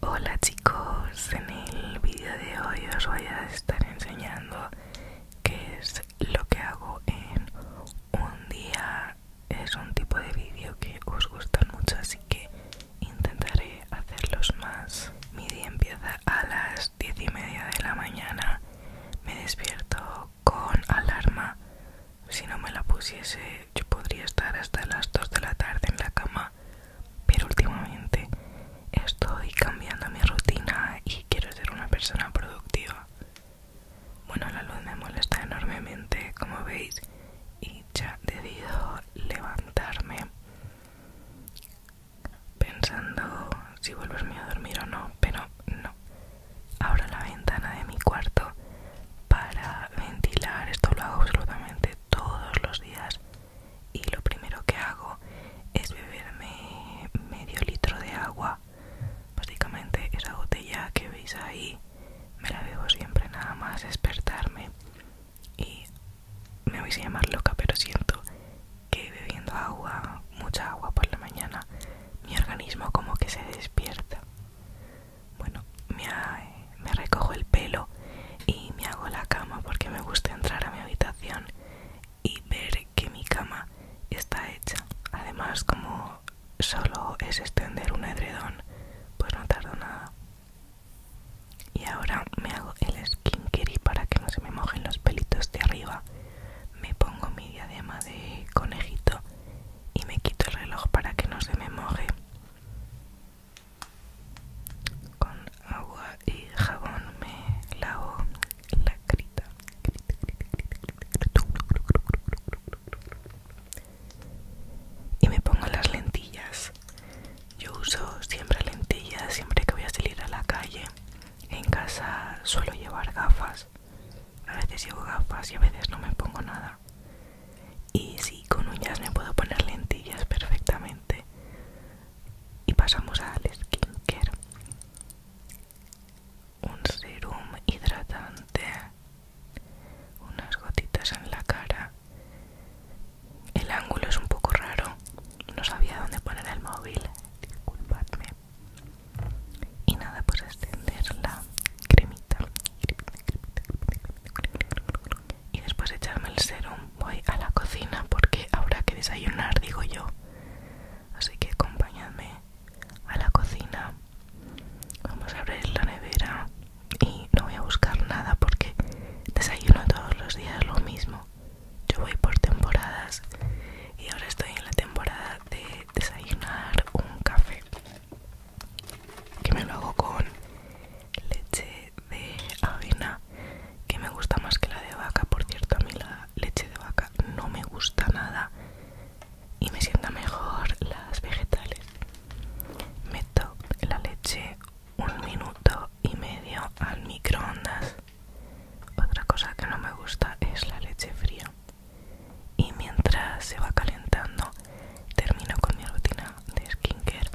Hola chicos, en el vídeo de hoy os voy a estar enseñando qué es lo que hago en un día. Es un tipo de vídeo que os gusta mucho, así que intentaré hacerlos más. Mi día empieza a las 10 y media de la mañana. Me despierto con alarma. Si no me la pusiese yo podría estar hasta las 2 de la tarde en la cama, pero últimamente estoy cambiando mi rutina y quiero ser una persona productiva. Bueno, la luz me molesta enormemente, como veis, y ya decido levantarme pensando si vuelvo a dormir o no, pero no. Abro la ventana de mi cuarto para ventilar, esto lo hago absolutamente todos los días y lo primero que hago es beberme medio litro de agua. Básicamente esa botella que veis ahí me la bebo siempre nada más despertarme y me vais a llamar loca pero siento que bebiendo agua, mucha agua por la mañana, mi organismo como que se despierta. Bueno, me, recojo el pelo y me hago la cama porque me gusta entrar a mi habitación y ver que mi cama está hecha. Además, como solo es extender un edredón, pues no tardo nada. Y ahora me hago el skincare para que no se me mojen los pelitos de arriba. Me pongo mi diadema de conejito y me quito el reloj para que no se me moje con agua y jabón me lavo la carita y me pongo las lentillas yo uso siempre lentillas siempre que voy a salir a la calle en casa suelo llevar gafas a veces llevo gafas y a veces no me pongo nada y sí, con uñas me puedo poner lentillas perfectamente. Y pasamos al skincare. Un serum hidratante, unas gotitas en la cara. El ángulo es un poco raro, no sabía dónde poner el móvil, disculpadme. Y nada, pues extender la cremita y después de echarme el serum voy a la cocina porque habrá que desayunar, digo yo. Así que acompañadme a la cocina. Vamos a abrir la nevera y no voy a buscar nada porque desayuno todos los días lo mismo. Yo voy por temporadas y ahora estoy en la temporada de desayunar un café. Que me lo hago con leche de avena que me gusta más que la de vaca por cierto a mí la leche de vaca no me gusta nada y me sienta mejor las vegetales meto la leche un minuto y medio al microondas otra cosa que no me gusta es la leche fría y mientras se va calentando termino con mi rutina de skincare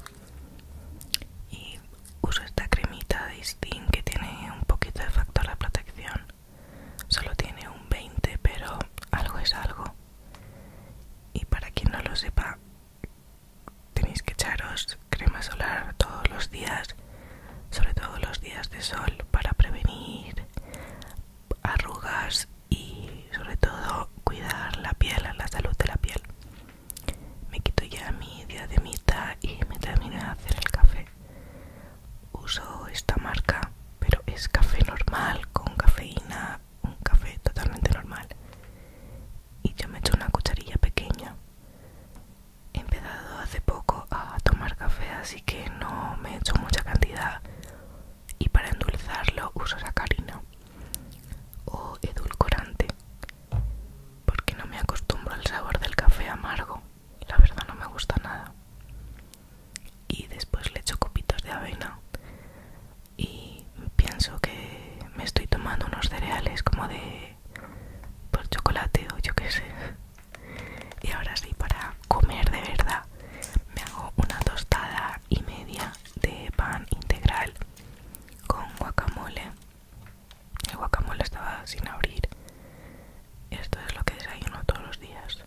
y uso esta cremita de skin que tiene un poquito de factor de protección solo tiene un 20 pero algo es algo y para quien no lo sepa tenéis que echaros crema solar todos los días sobre todo los días de sol para prevenir arrugas y sobre todo cuidar la piel la salud de la piel me quito ya mi diademita y me termino de hacer el café. Uso esta marca, pero es café normal, con cafeína, un café totalmente normal. Y yo me echo una cucharilla pequeña. He empezado hace poco a tomar café, así que no me echo mucha cantidad. Y para endulzarlo uso sacarina o edulcorante porque no me acostumbro al sabor del café amargo la verdad no me gusta nada y después le echo copitos de avena y pienso que me estoy tomando unos cereales como de por chocolate o yo qué sé y ahora sí para comer de verdad me hago una tostada y media de pan integral con guacamole. El guacamole estaba sin abrir. Esto es lo que desayuno todos los días.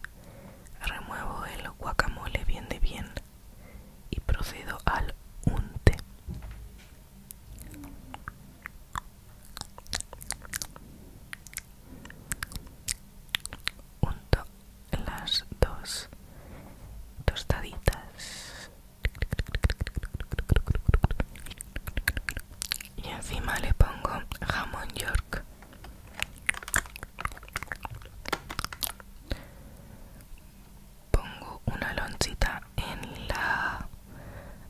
Remuevo el guacamole bien de bien y procedo al unte. Unto las dos tostaditas y encima le pongo jamón york pongo una lonchita en la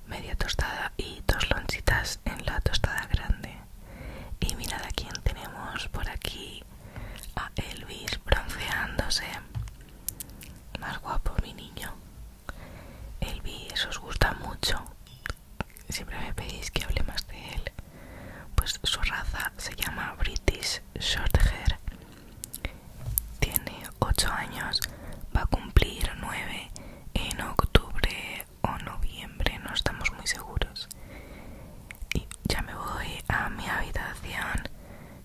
media tostada y dos lonchitas en la tostada grande y mirad a quién tenemos por aquí a Elvis bronceándose más guapo, mi niño. El eso os gusta mucho. Siempre me pedís que hable más de él. Pues su raza se llama British Shorthair. Tiene 8 años, va a cumplir 9 en octubre o noviembre, no estamos muy seguros. Y ya me voy a mi habitación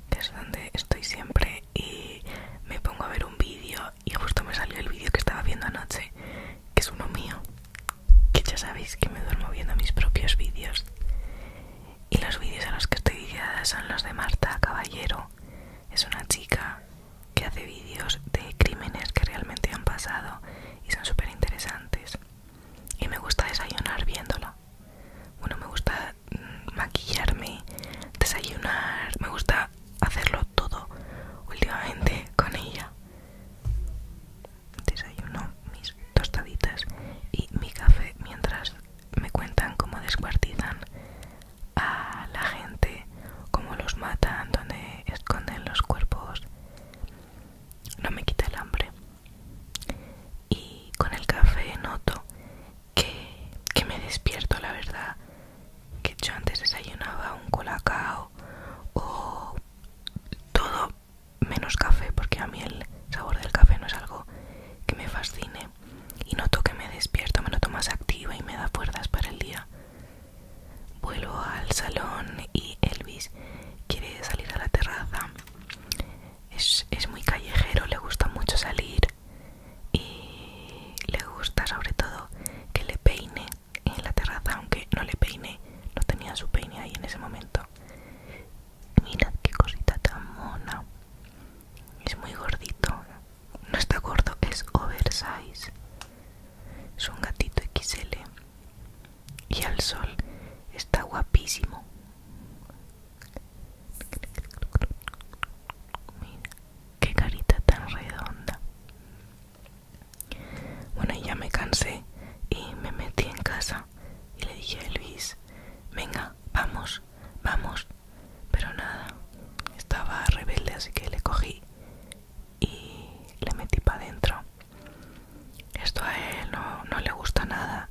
que es donde estoy siempre y me pongo a ver un vídeo y justo me salió el vídeo que estaba viendo anoche, que es uno mío, que ya sabéis que me duermo viendo mis propios vídeos. Y los vídeos a los que estoy guiada son los de Marta Caballero. Es una chica que hace vídeos de crímenes que realmente han pasado y son súper interesantes. Y me gusta desayunar viéndola. Bueno, me gusta mm, maquillarme, desayunar, me gusta hacerlo todo últimamente con ella. Desayuno mis tostaditas y mi café mientras me cuentan cómo descuartizan a la gente, cómo los matan, donde esconden los cuerpos. No me quita el hambre y con el café noto que, me despierto la verdad que yo antes desayunaba un colacao o todo menos café porque a mí el sabor del café no es algo que me fascine y noto que me despierto me noto más activa y me da fuerzas para el día vuelvo al salón y Elvis quiere salir a la terraza es, muy callejero, le gusta mucho salir y le gusta sobre todo que le peine en la terraza, aunque no le peine, no tenía su peine ahí en ese momento. Mirad qué cosita tan mona. Es muy gordito. No está gordo, es oversize. Es un gatito XL. Y al sol está guapísimo. Mira, qué carita tan redonda. Bueno, ya me cansé y me metí en casa y le dije a Luis, venga, vamos, vamos. Pero nada, estaba rebelde, así que le cogí y le metí para adentro. Esto a él no le gusta nada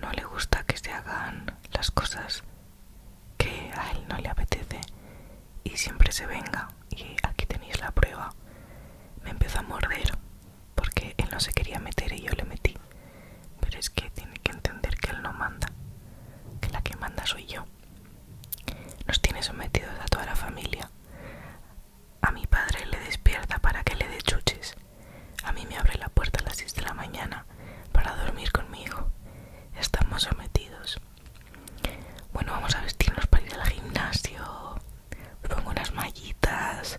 no le gusta que se hagan las cosas que a él no le apetece y siempre se venga y aquí tenéis la prueba me empezó a morder porque él no se quería meter y yo le metí pero es que tiene que entender que él no manda que la que manda soy yo nos tiene sometidos a toda la familia a mi padre le despierta para que le dé chuches a mí me abre la puerta a las 6 de la mañana para dormir conmigo. Estamos sometidos. Bueno, vamos a vestirnos para ir al gimnasio. pongo unas mallitas,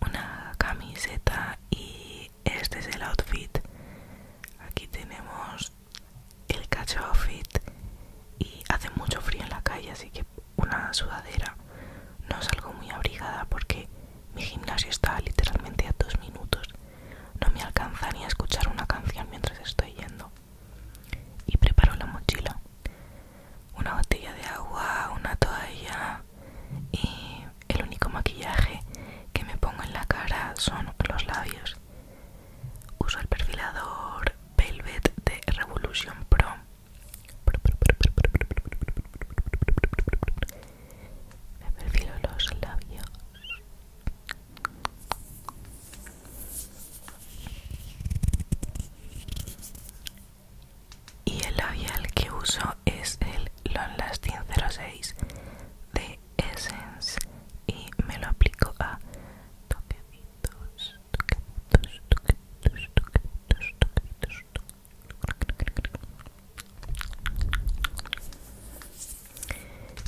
una camiseta y este es el outfit. Aquí tenemos el cacho outfit y hace mucho frío en la calle, así que una sudadera no salgo muy abrigada porque mi gimnasio está literalmente a dos minutos. No me alcanza ni a escuchar una canción mientras estoy yendo. Y preparo la mochila. Una botella de agua, una toalla y el único maquillaje que me pongo en la cara son los labios. Uso el perfilador Velvet de Revolution Pro me perfilo los labios y el labial que uso es el Long Lasting 06 de Essence y me lo aplico a toquecitos, toquecitos, toquecitos, toquecitos, toquecitos,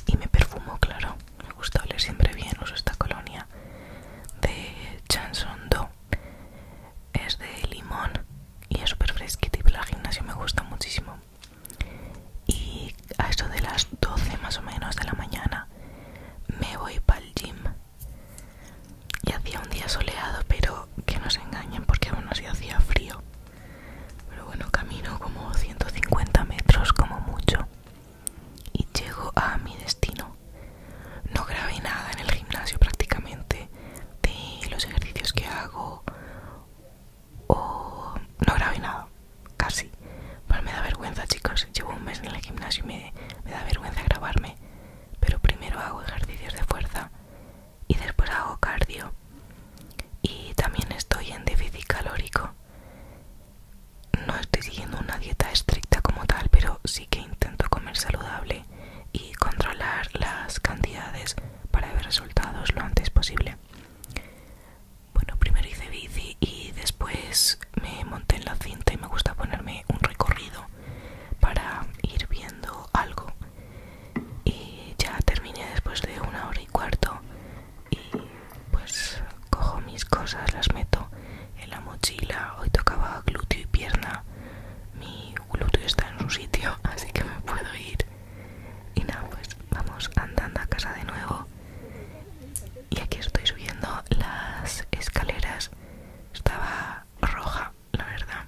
y me perfumo, claro. Me gusta oler siempre bien. Uso esta colonia de Chanson Do. Es de limón y es súper fresquito. y la gimnasio me gusta muchísimo. Y a eso de las 12 más o menos de la mañana me voy para el gym y hacía un día soleado, pero que no se engañen porque aún así hacía frío. Pero bueno, camino como 150 metros como mucho y llego a mi destino. No grabé nada en el gimnasio prácticamente de los ejercicios que hago o no grabé nada, casi. para me da vergüenza chicos, llevo un mes en el gimnasio y me da vergüenza grabarme. Pero primero hago ejercicios de fuerza y después hago cardio y también estoy en déficit calórico no estoy siguiendo una dieta estricta como tal pero sí que intento comer saludable y controlar las cantidades para ver resultados lo antes posible bueno primero hice bici y después me monté en la cinta y me gusta ponerme un recorrido para ir viendo algo y ya terminé después de una hora y cuarto y pues cojo mis cosas, las meto en la mochila, hoy tocaba glúteo y pierna, mi glúteo está en su sitio así que me puedo ir y nada pues vamos andando a casa de nuevo y aquí estoy subiendo las escaleras estaba roja la verdad.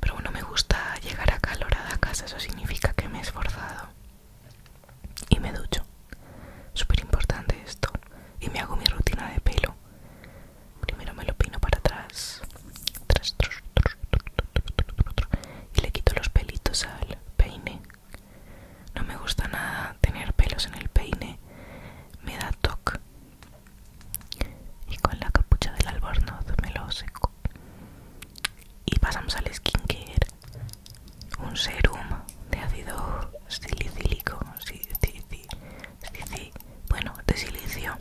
Pero bueno, me gusta llegar a calor a casa, eso significa que me he esforzado. Y me ducho. Súper importante esto. Y me hago mi rutina de pelo. Primero me lo pino para atrás. y le quito los pelitos al peine. No me gusta nada tener pelos en el peine. Me da toque y con la capucha del albornoz me lo seco y pasamos al skincare un serum de ácido silicílico bueno de silicio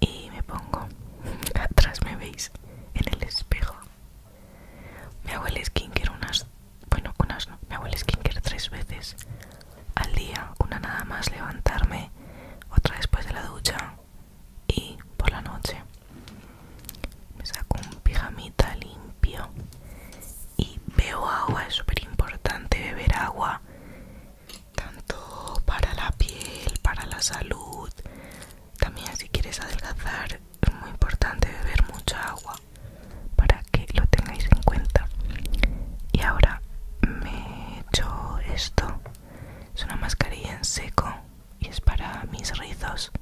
y me pongo atrás me veis en el espejo me hago el skincare unas bueno unas no me hago el skincare tres veces al día, una nada más levantarme, otra después de la ducha y por la noche. Me saco un pijamita limpio y bebo agua, es súper importante beber agua, tanto para la piel, para la salud. También si quieres adelgazar es muy importante beber mucha agua para que lo tengáis en cuenta y ahora me echo esto es una mascarilla en seco y es para mis rizos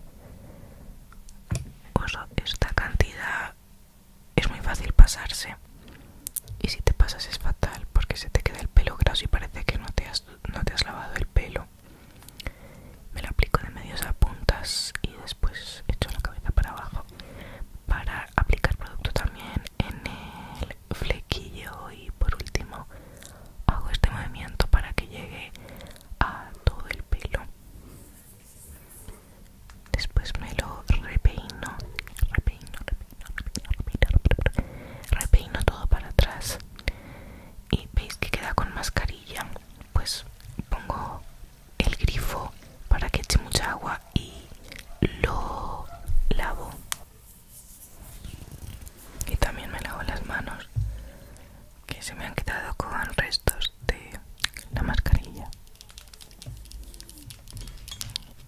uso esta cantidad es muy fácil pasarse y si te pasas es fatal porque se te queda el pelo graso y parece que no te has, no te has lavado el pelo me lo aplico de medios a puntas y después echo la cabeza para abajo para aplicar producto también en el flequillo y por último hago este movimiento para que llegue a todo el pelo después me lo repeino repeino repeino repeino, todo para atrás y veis que queda con mascarilla pues pongo el grifo para que eche mucha agua y lo lavo. Y también me lavo las manos que se me han quedado con restos de la mascarilla.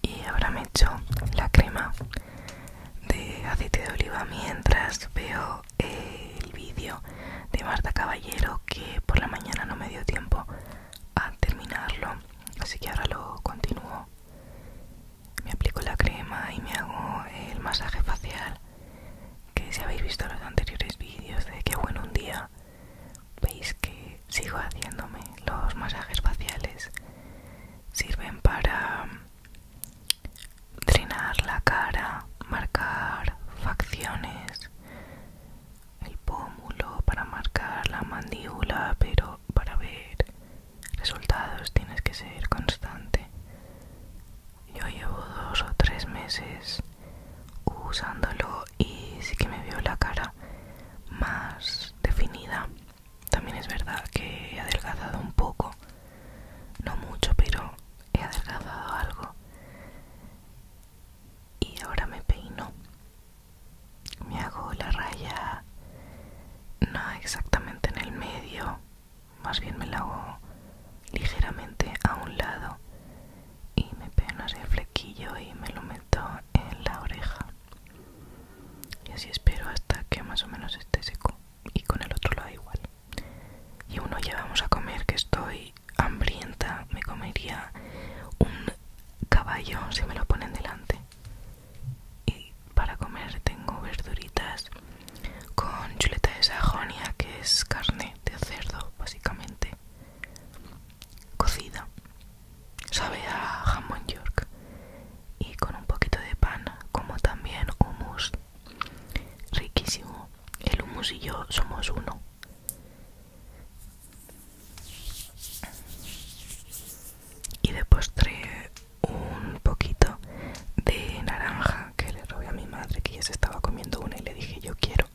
Y ahora me echo la crema de aceite de oliva mientras veo el vídeo de Marta Caballero que por la mañana no me dio tiempo a terminarlo así que ahora lo continúo me aplico la crema y me hago el masaje facial que si habéis visto los anteriores vídeos de que bueno un día veis que sigo haciéndome los masajes faciales sirven para mm, drenar la cara marcar facciones el pómulo para marcar la mandíbula, pero para ver resultados tienes que ser constante. Yo llevo dos o tres meses usándolo y sí que me veo la cara más definida. También es verdad que he adelgazado un poco, no mucho, pero he adelgazado algo. Y ahora me peino me hago la raya no exactamente en el medio más bien me la hago ligeramente a un lado y me pego así el flequillo y me lo meto en la oreja y así espero hasta que más o menos esté seco y con el otro lo igual y uno ya vamos a comer que estoy hambrienta me comería un caballo se me lo ponen delante. Y para comer tengo verduritas con chuleta de sajonia, que es carne de cerdo, básicamente cocida. Sabe a jamón york. Y con un poquito de pan, como también hummus. Riquísimo. El hummus y yo somos uno y de postre un poquito de naranja que le robé a mi madre que ya se estaba comiendo una y le dije yo quiero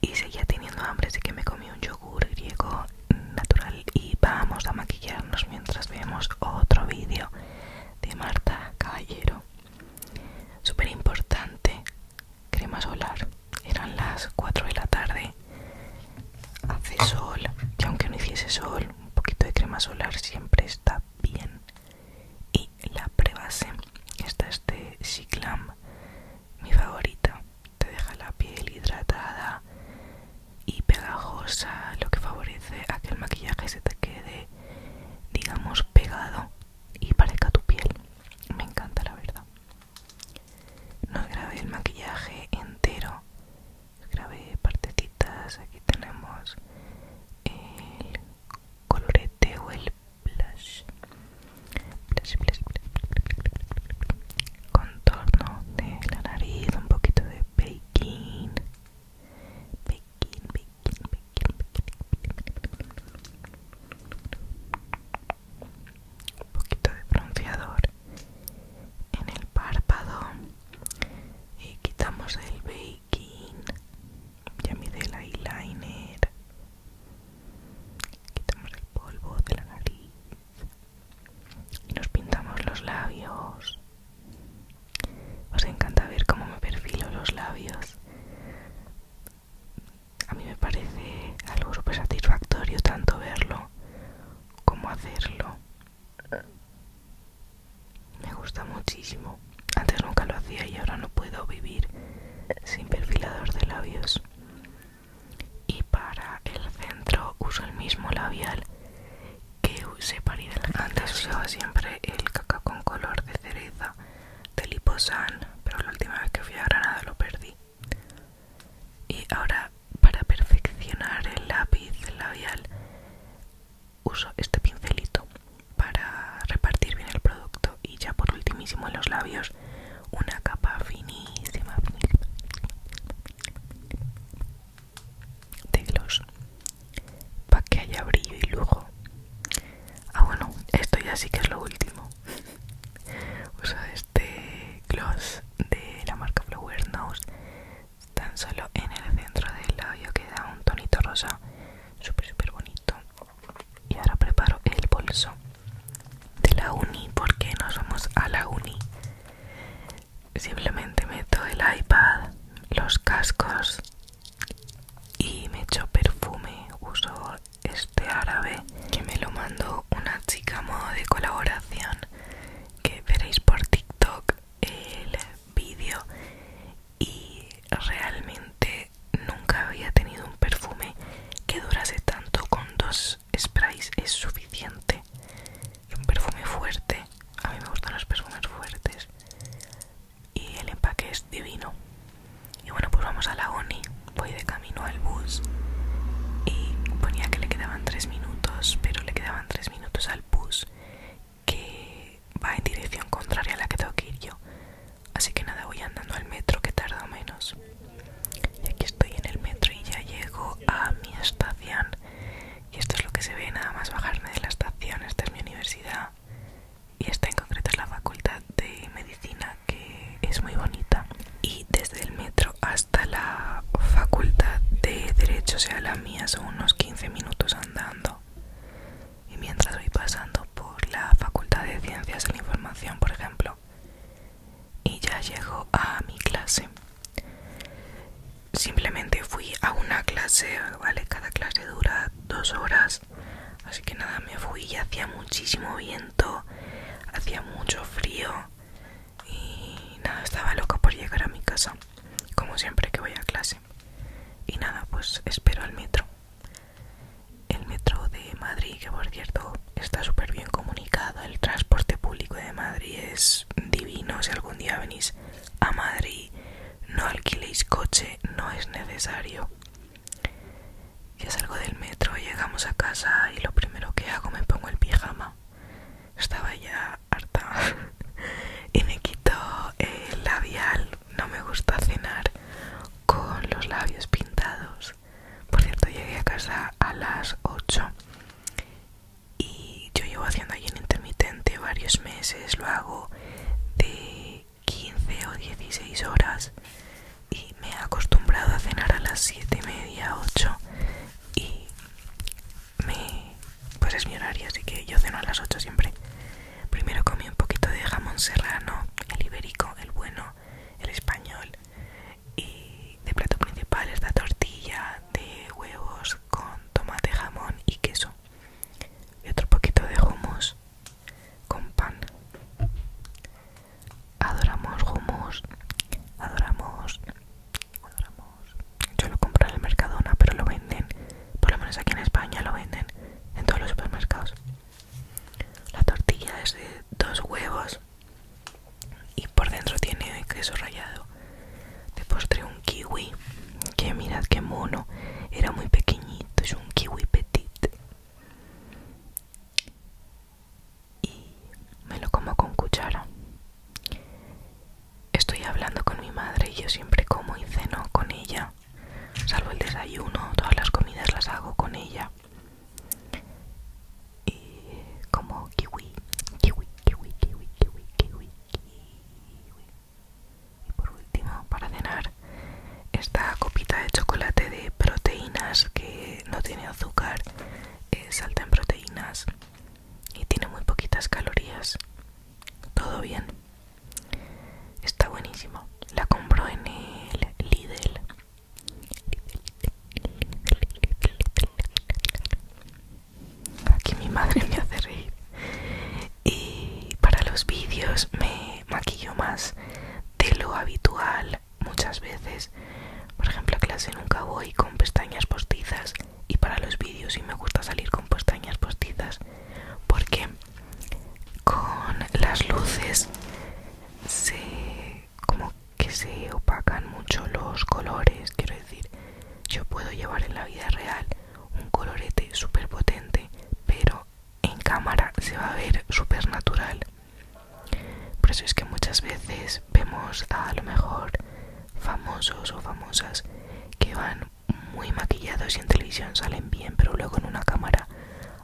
y seguía teniendo hambre así que me comí un yogur griego natural y vamos a maquillarnos mientras vemos otro vídeo de Marta Caballero súper importante crema solar. Eran las 4 de la tarde. Hace sol. Y aunque no hiciese sol, un poquito de crema solar siempre está bien. Y la prebase, esta es de Ciclam, mi favorita. Te deja la piel hidratada y pegajosa, lo que favorece a que el maquillaje se te quede, digamos, pegado y parezca tu piel. Me encanta, la verdad no grabé el maquillaje entero grabé partecitas aquí tenemos el colorete o el blush blush, blush, blush. contorno de la nariz un poquito de baking baking baking un poquito de bronceador en el párpado y quitamos el baking ya mide el eyeliner quitamos el polvo de la nariz y nos pintamos los labios os encanta ver cómo me perfilo los labios a mí me parece algo súper satisfactorio tanto verlo como hacerlo. Me gusta muchísimo. Antes nunca lo hacía y ahora no puedo vivir sin perfilador de labios. Y para el centro uso el mismo labial que usé para ir Antes usaba siempre el cacao con color de cereza de Liposan, pero la última vez que fui a Granada lo perdí. Y ahora para perfeccionar el lápiz labial uso este pincelito para repartir bien el producto y ya por ultimísimo en los labios una capa finísima, de gloss para que haya brillo y lujo. Ah bueno, esto ya sí que es lo último. Uso de este gloss de la marca Flower Nose tan solo en el centro del labio queda un tonito rosa súper súper bonito y ahora preparo el bolso de la uni porque nos vamos a la uni simplemente meto el iPad los cascos y me echo perfume uso este árabe que me lo mandó una chica modo de colaboración que veréis por TikTok el vídeo y realmente nunca había tenido un perfume que durase tanto con dos sprays es suficiente un perfume fuerte a mí me gustan los perfumes fuertes y el empaque es divino y bueno, pues vamos a la ONI. Voy de camino al bus y ponía que le quedaban 3 minutos, pero le quedaban 3 minutos al bus que va en dirección contraria a la que tengo que ir yo. Así que nada, voy andando al metro que tarda menos. Y aquí estoy en el metro y ya llego a mi estación. Y esto es lo que se ve nada más bajarme de la estación. Esta es mi universidad y esta en concreto es la facultad de medicina que es muy bonita y desde el metro hasta la facultad de derecho, o sea la mía, son unos 15 minutos andando y mientras voy pasando por la facultad de ciencias de la información, por ejemplo, y ya llego a mi clase. Simplemente fui a una clase, ¿vale? Cada clase dura dos horas. Así que nada, me fui y hacía muchísimo viento hacía mucho frío y nada, estaba loco por llegar a mi casa, como siempre que voy a clase. Y nada, pues espero al metro. El metro de Madrid, que por cierto está súper bien comunicado, el transporte público de Madrid es divino. Si algún día venís a Madrid, no alquiléis coche, no es necesario. Ya salgo del metro, llegamos a casa y lo primero que hago me pongo el pijama. Estaba ya harta y me quito el labial. No me gusta cenar con los labios pintados. Por cierto, llegué a casa a las 8 y yo llevo haciendo allí en intermitente varios meses. Lo hago de 15 o 16 horas y me he acostumbrado a cenar a las 7 y media, 8 y me, pues es mi horario, así que yo ceno a las 8 siempre. Primero comí un poquito de jamón serrano, el ibérico, el bueno, el español y de plato principal esta tortilla de huevos con tomate, jamón y queso y otro poquito de hummus con pan adoramos hummus, adoramos, adoramos. Yo lo compro en el Mercadona, pero lo venden, por lo menos aquí en España lo venden en todos los supermercados. La tortilla es de dos huevos y por dentro tiene queso rallado. De postre un kiwi, que mirad qué mono, era muy pequeñito, es un kiwi petit y me lo como con cuchara. Estoy hablando con mi madre y yo siempre como y ceno con ella, salvo el desayuno, todas las comidas las hago con ella. Y como kiwi, kiwi, kiwi, kiwi, kiwi, kiwi, Y por último, para cenar, esta copita de chocolate de proteínas que no tiene azúcar, eh, salta en proteínas y tiene muy poquitas calorías. Todo bien. Está buenísimo. La compro en el Lidl. Aquí mi madre me hace reír. Y para los vídeos me maquillo más de lo habitual muchas veces. Por ejemplo, a clase nunca voy con pestañas postizas y para los vídeos sí me gusta salir con pestañas postizas porque con las luces se como que se opacan mucho los colores, quiero decir, yo puedo llevar en la vida real un colorete súper potente, pero en cámara se va a ver súper natural. Por eso es que muchas veces vemos a, lo mejor famosos o famosas que van muy maquillados y en televisión salen bien, pero luego en una cámara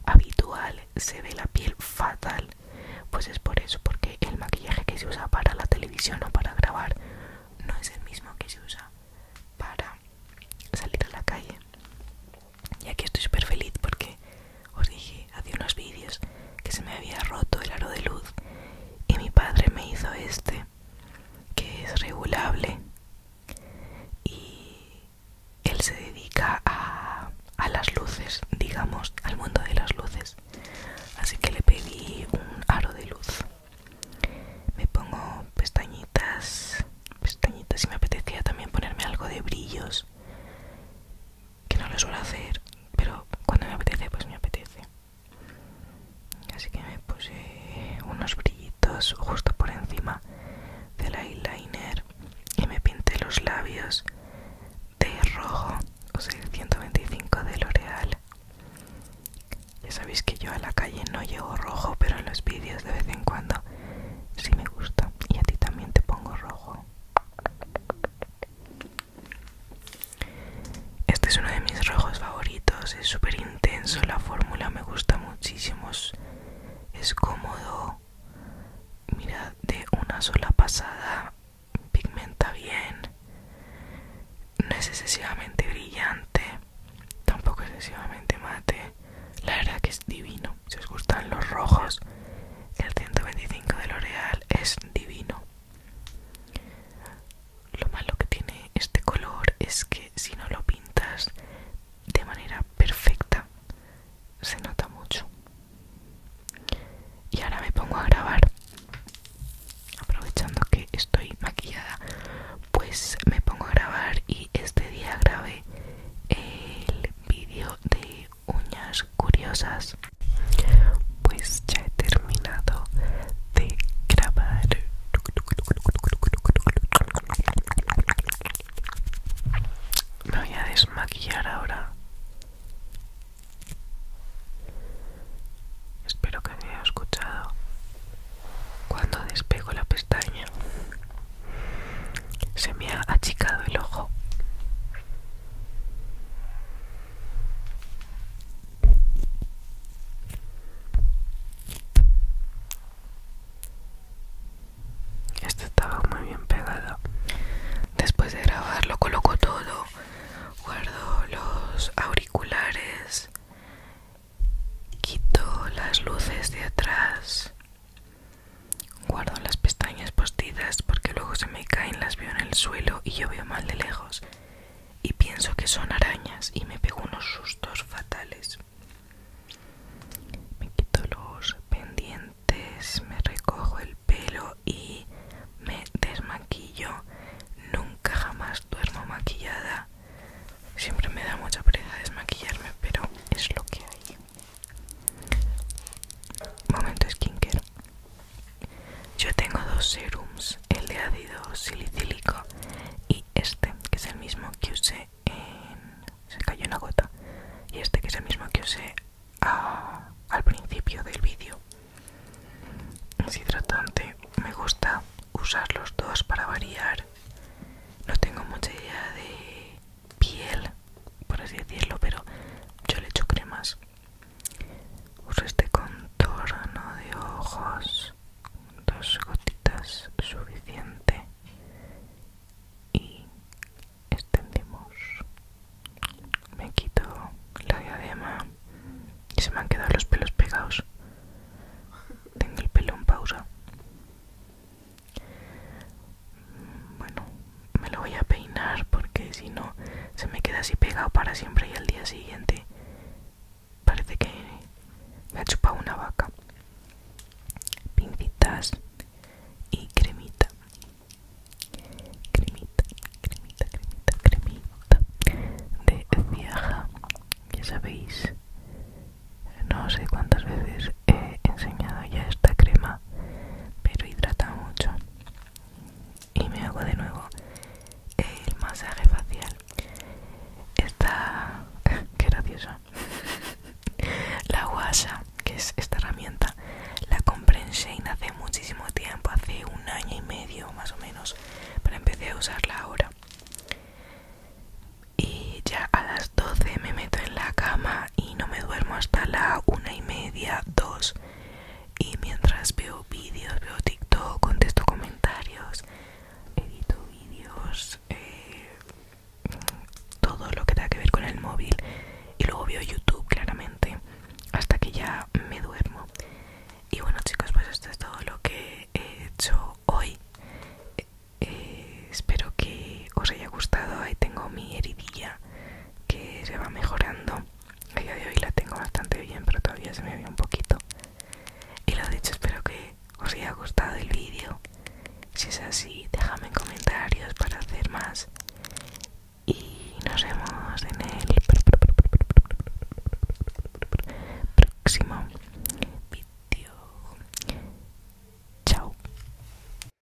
habitual se ve la piel fatal. Pues es por eso, porque el maquillaje que se usa para la televisión o para grabar no es el mismo que se usa para salir a la calle. Y aquí estoy súper feliz porque os dije hace unos vídeos que se me había roto el aro de luz y mi padre me hizo este que es regulable y él se dedica a, las luces, digamos, al mundo de las luces. Así que le pedí un aro de luz. Me pongo pestañitas, pestañitas y me apetecía también ponerme algo de brillos que no lo suelo hacer, pero cuando me apetece, pues me apetece. Así que me puse unos brillitos justo por encima del eyeliner y me pinté los labios de rojo, o sea, el 125 de L'Oreal. Ya sabéis que yo a la calle no llevo rojo, pero en los vídeos de vez en cuando sí me gusta. Y a ti también te pongo rojo este es uno de mis rojos favoritos, es súper intenso, la fórmula me gusta muchísimo, es cómodo, Mira de una sola pasada pigmenta bien, no es excesivamente brillante, tampoco excesivamente mate, la verdad que es divino si os gustan los rojos, el 125 de L'Oreal es divino. Lo malo que tiene este color es que si no lo pintas de manera perfecta, se nota mucho. Y ahora me pongo a grabar. Aprovechando que estoy maquillada, pues me pongo a grabar y este día grabé el vídeo de uñas curiosas pues ya he terminado de grabar me voy a desmaquillar ahora espero que me haya escuchado cuando despego la pestaña se me ha achicado el ojo. Esto estaba muy bien pegado. Después de grabar lo coloco todo, guardo los auriculares, quito las luces de atrás Guardo las pestañas postidas porque luego se me caen, las veo en el suelo y yo veo mal de lejos. Y pienso que son arañas y me pego unos sustos fatales. Me quito los pendientes, me recojo el pelo y me desmaquillo. Nunca jamás duermo maquillada. Siempre me da mucha pereza desmaquillarme, pero es lo que hay. Momento skincare. Yo tengo dos serums, el de ácido silicílico y este, que es el mismo que usé en... Se cayó una gota. Y este que es el mismo que usé al principio del vídeo. Es hidratante. Me gusta usar los dos para variar. No tengo mucha idea de piel, por así decirlo, pero yo le echo cremas. Uso este contorno de ojos, dos gotitas suficiente y extendemos. Me quito la diadema y se me han quedado los pelos pegados. Tengo el pelo en pausa. Bueno, me lo voy a peinar porque si no se me queda así pegado para siempre y al día siguiente parece que me ha chupado una vaca. Pincitas y cremita. Cremita, cremita, cremita, cremita de viaja. Ya sabéis, no sé cuántas veces he enseñado ya esta crema pero hidrata mucho y me hago de nuevo el masaje facial esta qué graciosa la guasa que es esta herramienta la compré en Shane hace muchísimo tiempo hace un año y medio más o menos pero empecé a usarla ahora y ya a las 12 me meto en la cama y no me duermo hasta la 1 y media, dos. Y mientras veo vídeos, veo TikTok, contesto comentarios, edito vídeos, eh, todo lo que tenga que ver con el móvil. Y luego veo YouTube, claramente, hasta que ya me duermo. Y bueno, chicos, pues esto es todo lo que he hecho hoy. Eh, espero que os haya gustado. Ahí tengo mi heridilla que se va mejorando. A día de hoy la tengo bastante bien, pero todavía se me ve un poquito. Y lo dicho, espero que os haya gustado el vídeo. Si es así, déjame en comentarios para hacer más. Y nos vemos en el próximo vídeo. Chao.